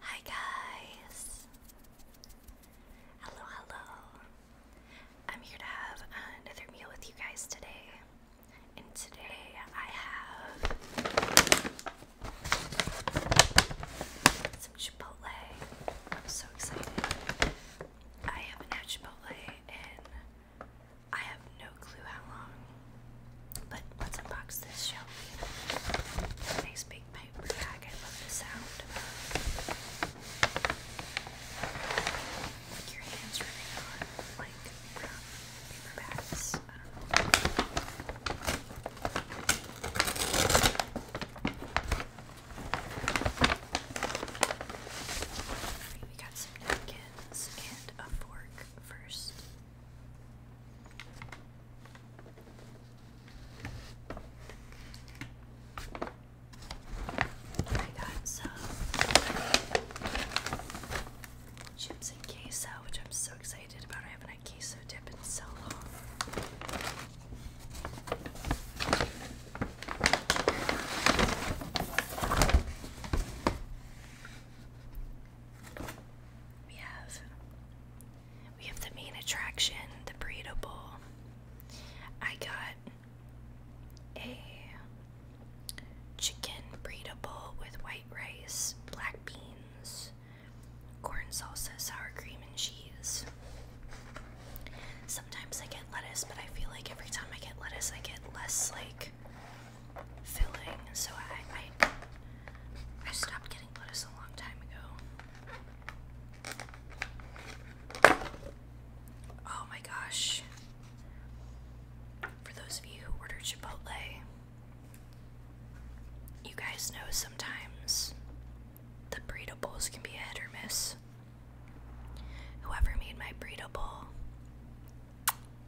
Hi guys! Hello, hello! I'm here to have another meal with you guys today. And today I have some Chipotle. I'm so excited. I haven't had Chipotle in I have no clue how long. But let's unbox this, shall we? Nice big paper bag. I love the sound. Like your hands rubbing on like paper bags. We got some napkins and a fork first. I got some chips and queso, which I'm so excited about. I haven't had queso dip in so long. We have we have the main attraction, the breedable. I got a chicken breedable with white rice, black beans, corn salsa, sour cream, and cheese. Sometimes I get lettuce, but I feel like every time I get lettuce, I get less like filling, so I, I I stopped getting lettuce a long time ago. Oh my gosh. For those of you who ordered Chipotle, you guys know sometimes the breadables can be a hit or miss. Whoever made my breadable,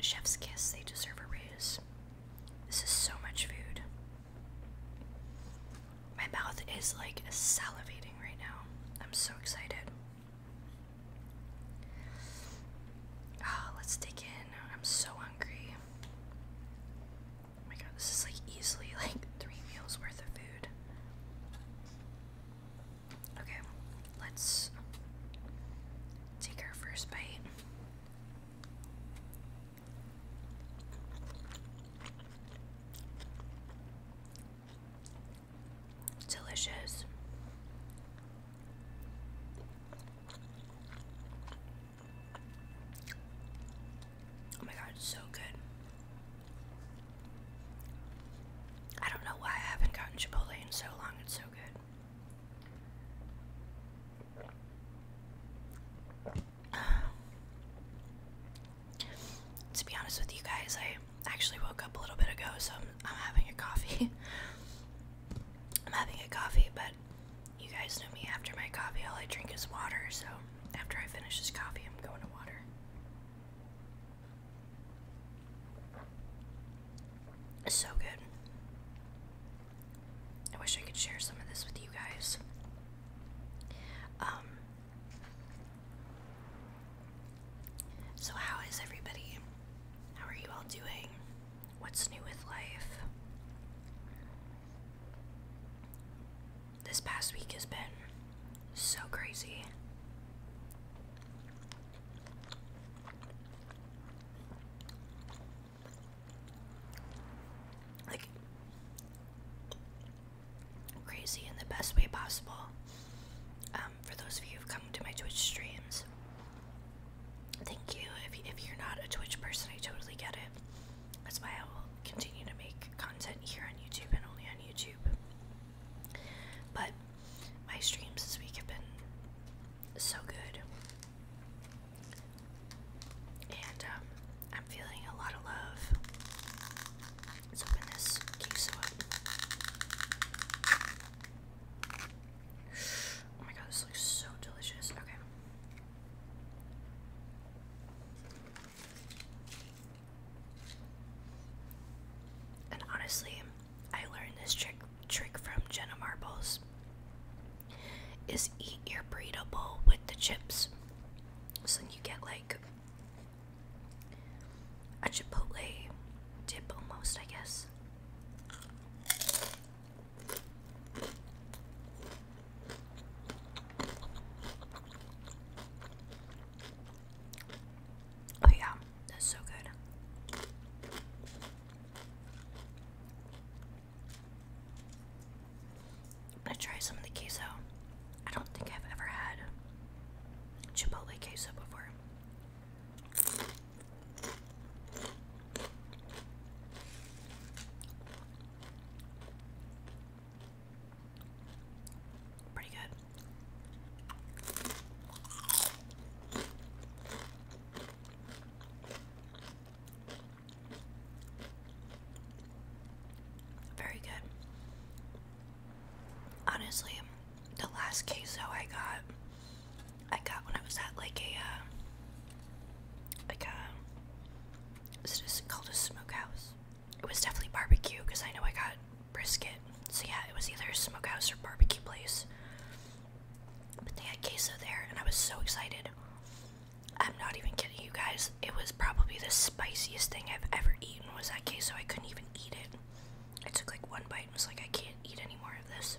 chef's kiss, they deserve a raise. This is so much food. My mouth is like salivating right now. I'm so excited. oh, let's dig in. I'm so hungry. Oh my god, this is like easily like three meals worth of food. Okay, let's take our first bite. Delicious. Oh my god, it's so good. I don't know why I haven't gotten Chipotle in so long, it's so good. to be honest with you guys, I actually woke up a little bit ago, so I'm, having a coffee. I'm having a coffee, but you guys know me. After my coffee, all I drink is water, so after I finish this coffee, I'm going to water. It's so good. I wish I could share some of this with you guys. Um, so, how is everybody? How are you all doing? What's new with life? This past week has been so crazy. Like crazy in the best way possible. Um, for those of you who've come to my Twitch streams, thank you. If, you, if you're not a Twitch person, I totally get it. That's why I will continue to make content here on YouTube and only on YouTube. But my streams this week have been so good. And um, I'm feeling a lot of love. Let's open this queso up. Oh my god, this looks so delicious. Okay. And honestly, I learned this trick trick from Jenna Marbles is eat your burrito with the chips. So you get like a chipotle dip almost, I guess. Oh, yeah, that's so good. I'm gonna try some of the queso. I don't think I've ever had chipotle queso before. Pretty good. Very good. Honestly, the last queso I got, I got when I was at like a, uh, like a, is it called a smokehouse? It was definitely barbecue because I know I got brisket. So yeah, it was either a smokehouse or barbecue place. But they had queso there, and I was so excited. I'm not even kidding you guys. It was probably the spiciest thing I've ever eaten was that queso. I couldn't even eat it. I took like one bite and was like, I can't eat any more of this.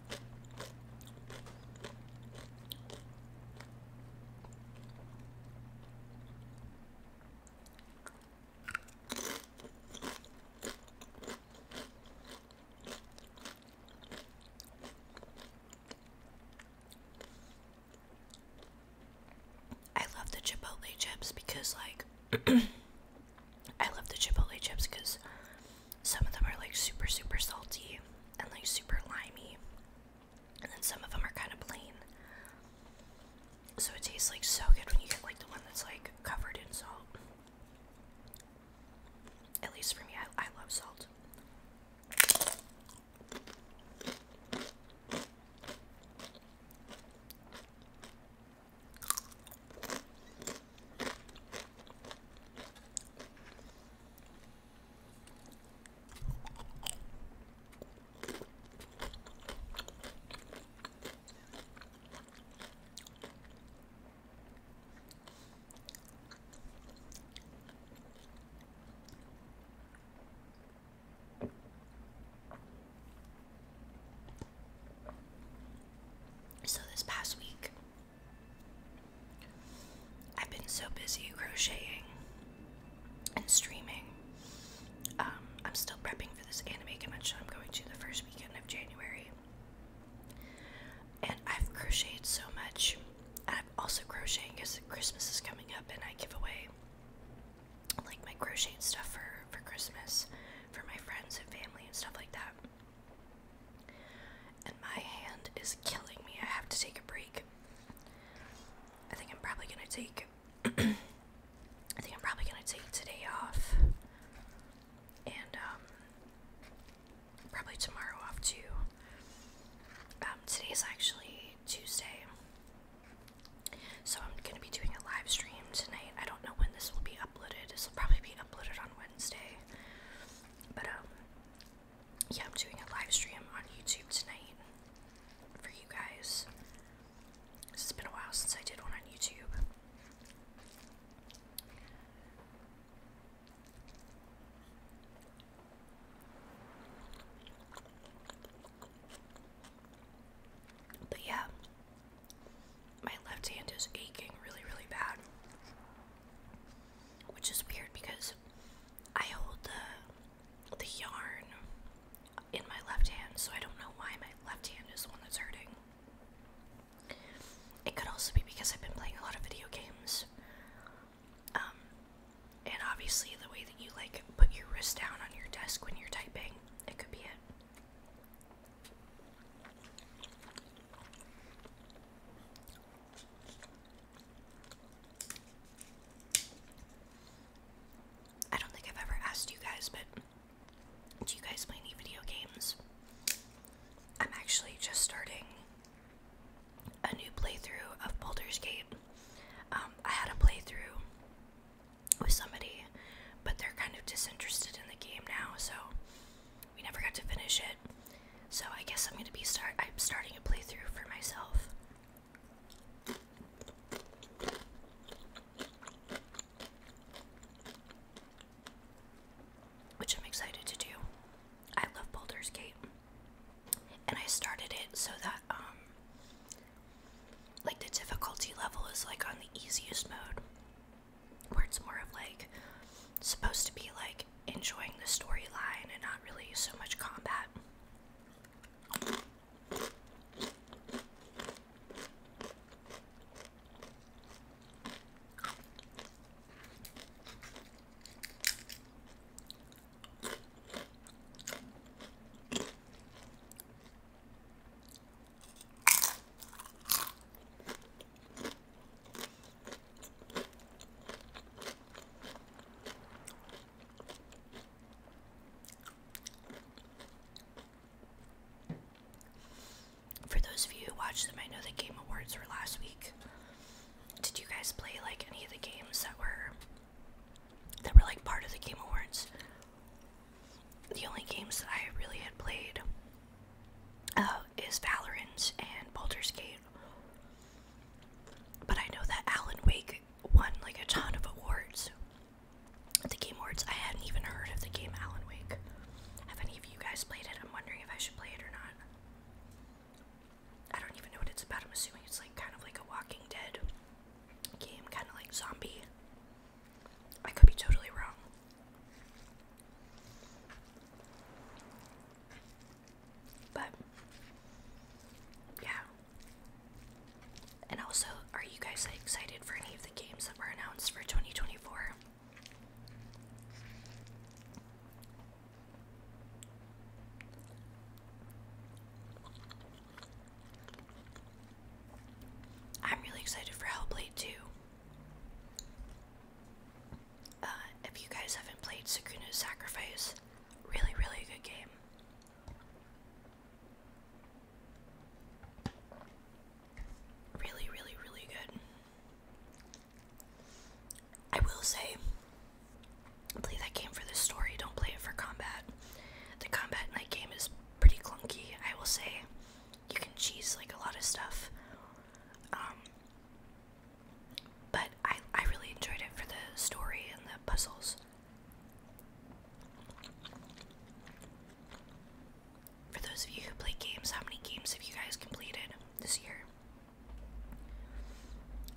I love the Chipotle chips because, like, I love the Chipotle chips because some of them are like super, super salty and like super limey. And then some of them are kind of plain. So it tastes like so good when you get like the one that's like covered in salt. At least for me, I, I love salt. So, this past week, I've been so busy crocheting and streaming. Um, I'm still prepping for this anime convention I'm going to the first weekend of January. And I've crocheted so much. And I'm also crocheting because Christmas is coming up and I give away like my crocheting stuff for, for Christmas for my friends and family and stuff like that. And my hand is killing me. I have to take a break. I think I'm probably gonna take. I think I'm probably gonna take today off, and um, probably tomorrow off too. Um, today is actually Tuesday, so I'm gonna be doing a live stream tonight. I don't know when this will be uploaded. This will probably be uploaded on Wednesday, but um, yeah, I'm doing a live stream on YouTube tonight for you guys. It's been a while since I did one on YouTube. But yeah, my left hand is aching really, really bad which is weird because I hold the the yarn in my left hand, so I don't know why my left hand is the one that's hurting. It could also be because I've been playing a lot of video games. Um, and obviously the way that you like put your wrist down on your desk when you're typing, it could be it. I don't think I've ever asked you guys, but do you guys play any video games? I'm actually just starting a new playthrough of Baldur's Gate. Um, I had a playthrough with somebody, but they're kind of disinterested in the game now, so we never got to finish it. So I guess I'm gonna be start. I'm starting a playthrough for myself. Which I'm excited to do. I love Boulder's Gate. And I started it so that, um, like the difficulty level is like on the easiest mode, where it's more of like supposed to be like enjoying the storyline and not really so much combat. For those of you who watched them, I know the Game Awards were last week. Did you guys play like any of the games that were that were like part of the Game Awards? The only games I really had played uh, is Valorant and Baldur's Gate. But I know that Alan Wake won like a ton of awards. The Game Awards, I hadn't even heard of the game Alan Wake. Have any of you guys played it? I'm wondering if I should play it or not. I don't even know what it's about. I'm assuming it's like kind of like a Walking Dead game, kind of like zombie. I could be totally wrong. But yeah. And also, are you guys excited for any of the games that were announced for 2024? I'm really excited for Hellblade 2. Uh, if you guys haven't played Sukunu's Sacrifice, really, really good game. Really, really, really good. I will say, play that game for the story, don't play it for combat. The combat in that game is pretty clunky, I will say. You can cheese like a lot of stuff. Um, but I, I really enjoyed it for the story and the puzzles. For those of you who play games, how many games have you guys completed this year?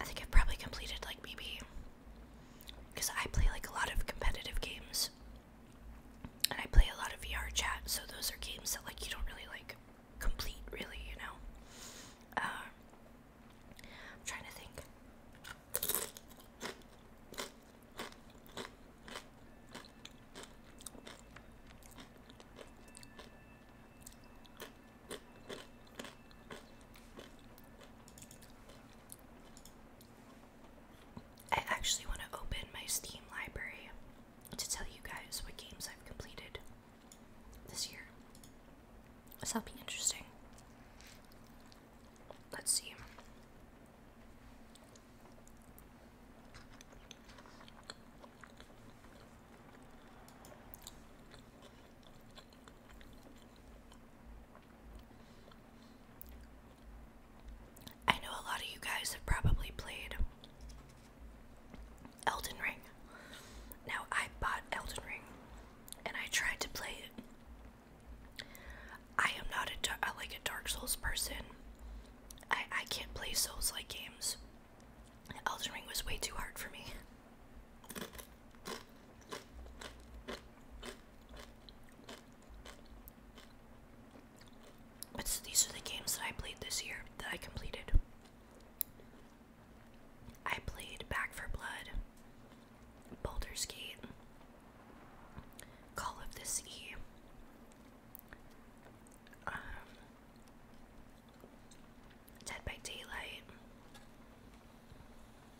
I think I've probably completed like maybe because I play like a lot of competitive games and I play a lot of VR chat, so those are games that like you don't really like complete, really, you know. Um, I'm trying to think. I actually want to open my Steam library to tell you guys what games I've completed this year. this will be interesting. Let's see. I know a lot of you guys have probably played Elden Ring. Now, I bought Elden Ring and I tried to play it. I am not a like a Dark Souls person. I I can't play Souls-like games. Elden Ring was way too hard for me. But so these are the games that I played this year that I completed. I played Back for Blood, Boulder Skate, Call of the Sea. Um, Dead by Daylight.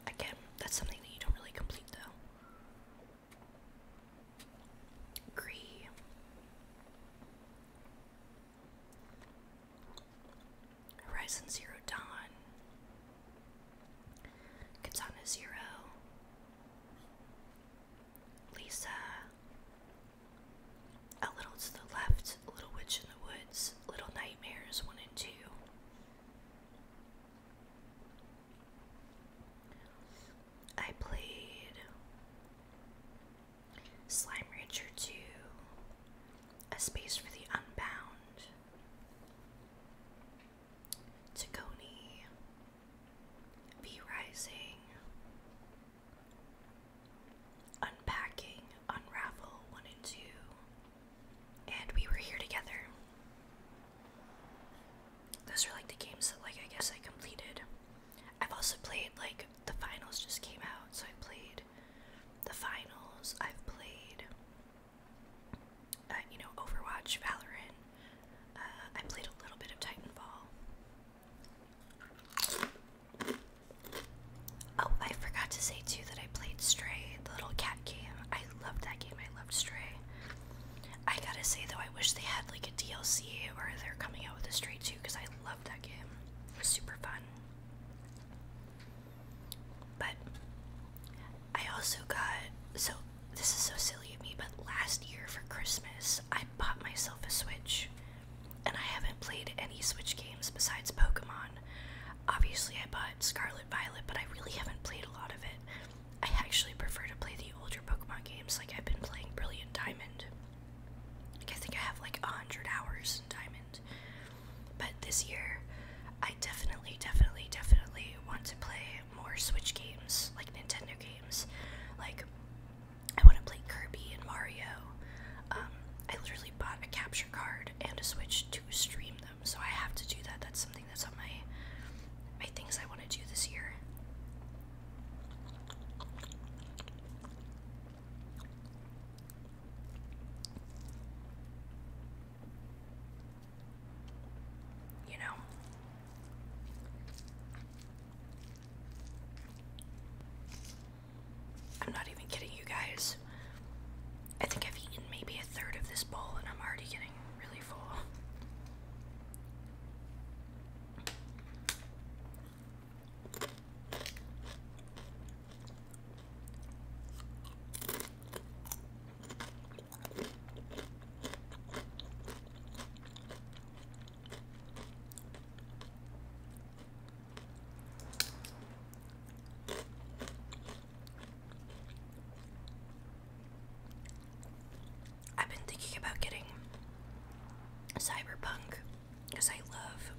Again, that's something that you don't really complete though. Gree. Horizon Zero Dawn, Katana Zero, Lisa, A Little to the Left, Little Witch in the Woods, Little Nightmares 1 and 2. I played Slime Rancher 2, A Space for the Unbound, Tacony, V Rising, Unpacking, Unravel 1 and 2, and We Were Here Together. Those are like the games that like I guess I completed I've also played like the finals just came out, so I played the finals. I've played, uh, you know, Overwatch, Valorant. Uh, I played a little bit of Titanfall. Oh, I forgot to say too that I played Stray, the little cat game. I loved that game. I loved Stray. I gotta say though, I wish they had like a DLC or they're coming out with a Stray too because I Love that game. It was super fun. But I also got so this is so silly of me, but last year for Christmas I bought myself a Switch. And I haven't played any Switch games besides Pokemon. Obviously, I bought Scarlet Violet, but I really haven't played a lot of it. I actually prefer to play the older Pokemon games, like I've been playing Brilliant Diamond. I think I have like a hundred hours in Diamond. But this year, I definitely, definitely, definitely want to play more Switch games, like Nintendo games. Like, I want to play Kirby and Mario. Um, I literally bought a capture card and a Switch to stream them, so I have to do that. That's something that's on my my things I want to do this year. You know. I'm not even kidding you guys. I think I've eaten maybe a third of this bowl and I'm already getting really full. I've been thinking about getting Cyberpunk because I love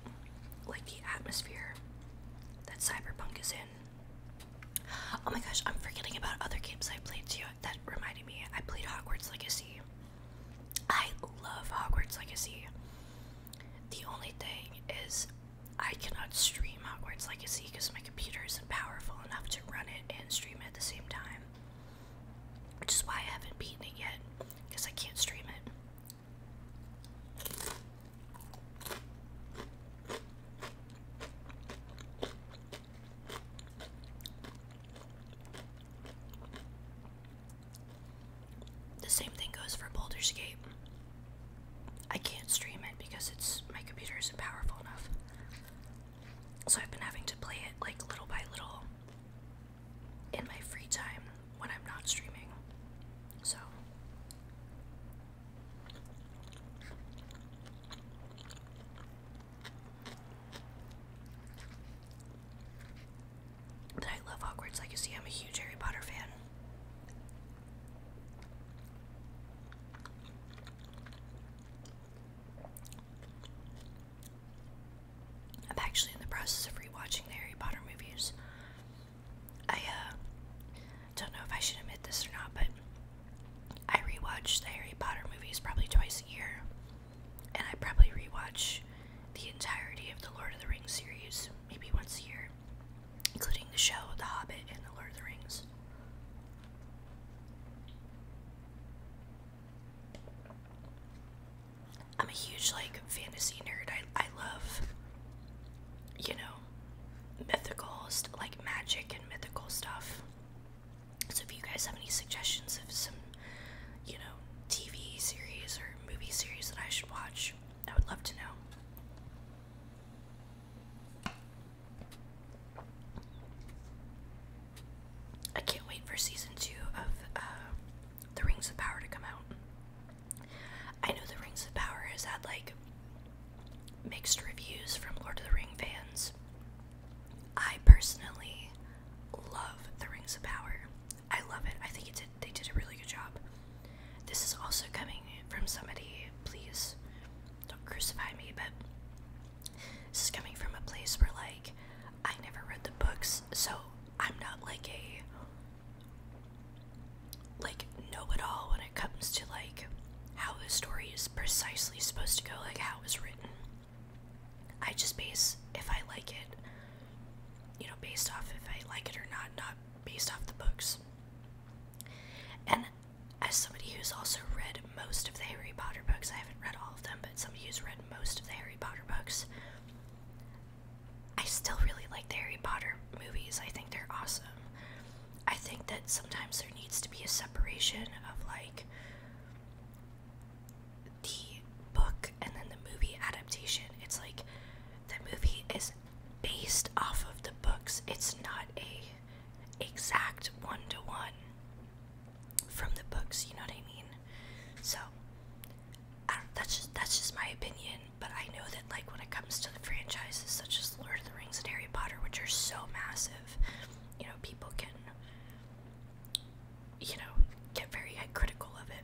like the atmosphere that Cyberpunk is in. Oh my gosh, I'm forgetting about other games I played too. That reminded me, I played Hogwarts Legacy. I love Hogwarts Legacy. The only thing is, I cannot stream Hogwarts Legacy because my computer isn't powerful enough to run it and stream at the same time. Which is why I haven't beaten it yet, because I can't stream it. The same thing goes for Boulder's Gate. I can't stream it because it's my computer isn't powerful enough. So I've been having to play it like little by little in my free time when I'm not streaming. So I love Hogwarts Legacy. I'm a huge Harry Potter fan. I'm actually in the process of rewatching the Harry Potter movies. I uh, don't know if I should admit this or not, but I rewatch the Harry Potter movies probably twice a year, and I probably rewatch the entirety of the Lord of the Rings series maybe once a year, including the show, The Hobbit, and the Lord of the Rings. I'm a huge like fantasy nerd. I I love you know mythical like magic and mythical stuff. So if you guys have any suggestions of some you know TV series or movie series that I should watch, I would love to know. I can't wait for season two of uh, the Rings of Power to come out. I know the Rings of Power has had like mixed reviews from Lord of the Ring fans. I personally love the Rings of Power. I love it. I think it did they did a really good job. This is also coming from somebody, please don't crucify me, but this is coming from a place where like I never read the books, so I'm not like a like know-it-all when it comes to like how the story is precisely supposed to go, like how it was written. I just base if I like it, you know, based off if I like it or not, not based off the books. And as somebody who's also read most of the Harry Potter books, I haven't read all of them, but somebody who's read most of the Harry Potter books, I still really like the Harry Potter movies. I think they're awesome. I think that sometimes there needs to be a separation of like the book and then the movie adaptation. It's like the movie is based off of the books. It's not a exact one to one from the books, you know what I mean? So that's just that's just my opinion. But I know that like when it comes to the franchises such as Lord of the Rings and Harry Potter, which are so massive, you know, people can you know get very critical of it.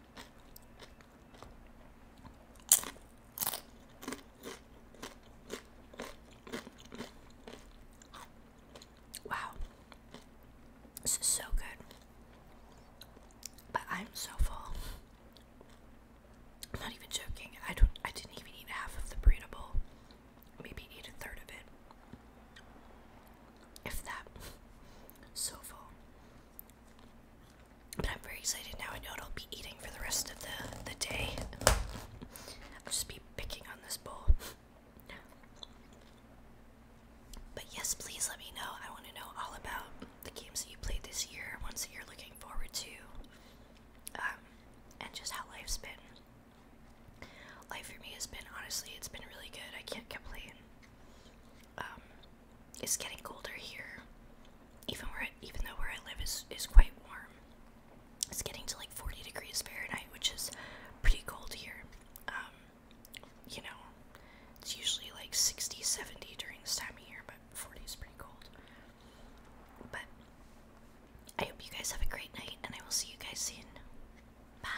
Wow. This is so good. But I'm so full. I'm not even joking. I don't I didn't even eat half of the burrito bowl. Maybe eat a third of it if that. So full. But I'm very excited now. I know what I'll be eating for the rest of the, the day. I'll just be picking on this bowl. But yes, please let me know. I want to know all about the games that you played this year, ones that you're looking forward to, um, and just how life's been. Life for me has been, honestly, it's been really good. I can't complain. Um, it's getting colder here. Even where, even though where I live is is quite warm, it's getting to like forty degrees Fahrenheit, which is pretty cold here. Um, you know, it's usually like 60, 70 during this time of year, but forty is pretty cold. But I hope you guys have a great night, and I will see you guys soon. Bye.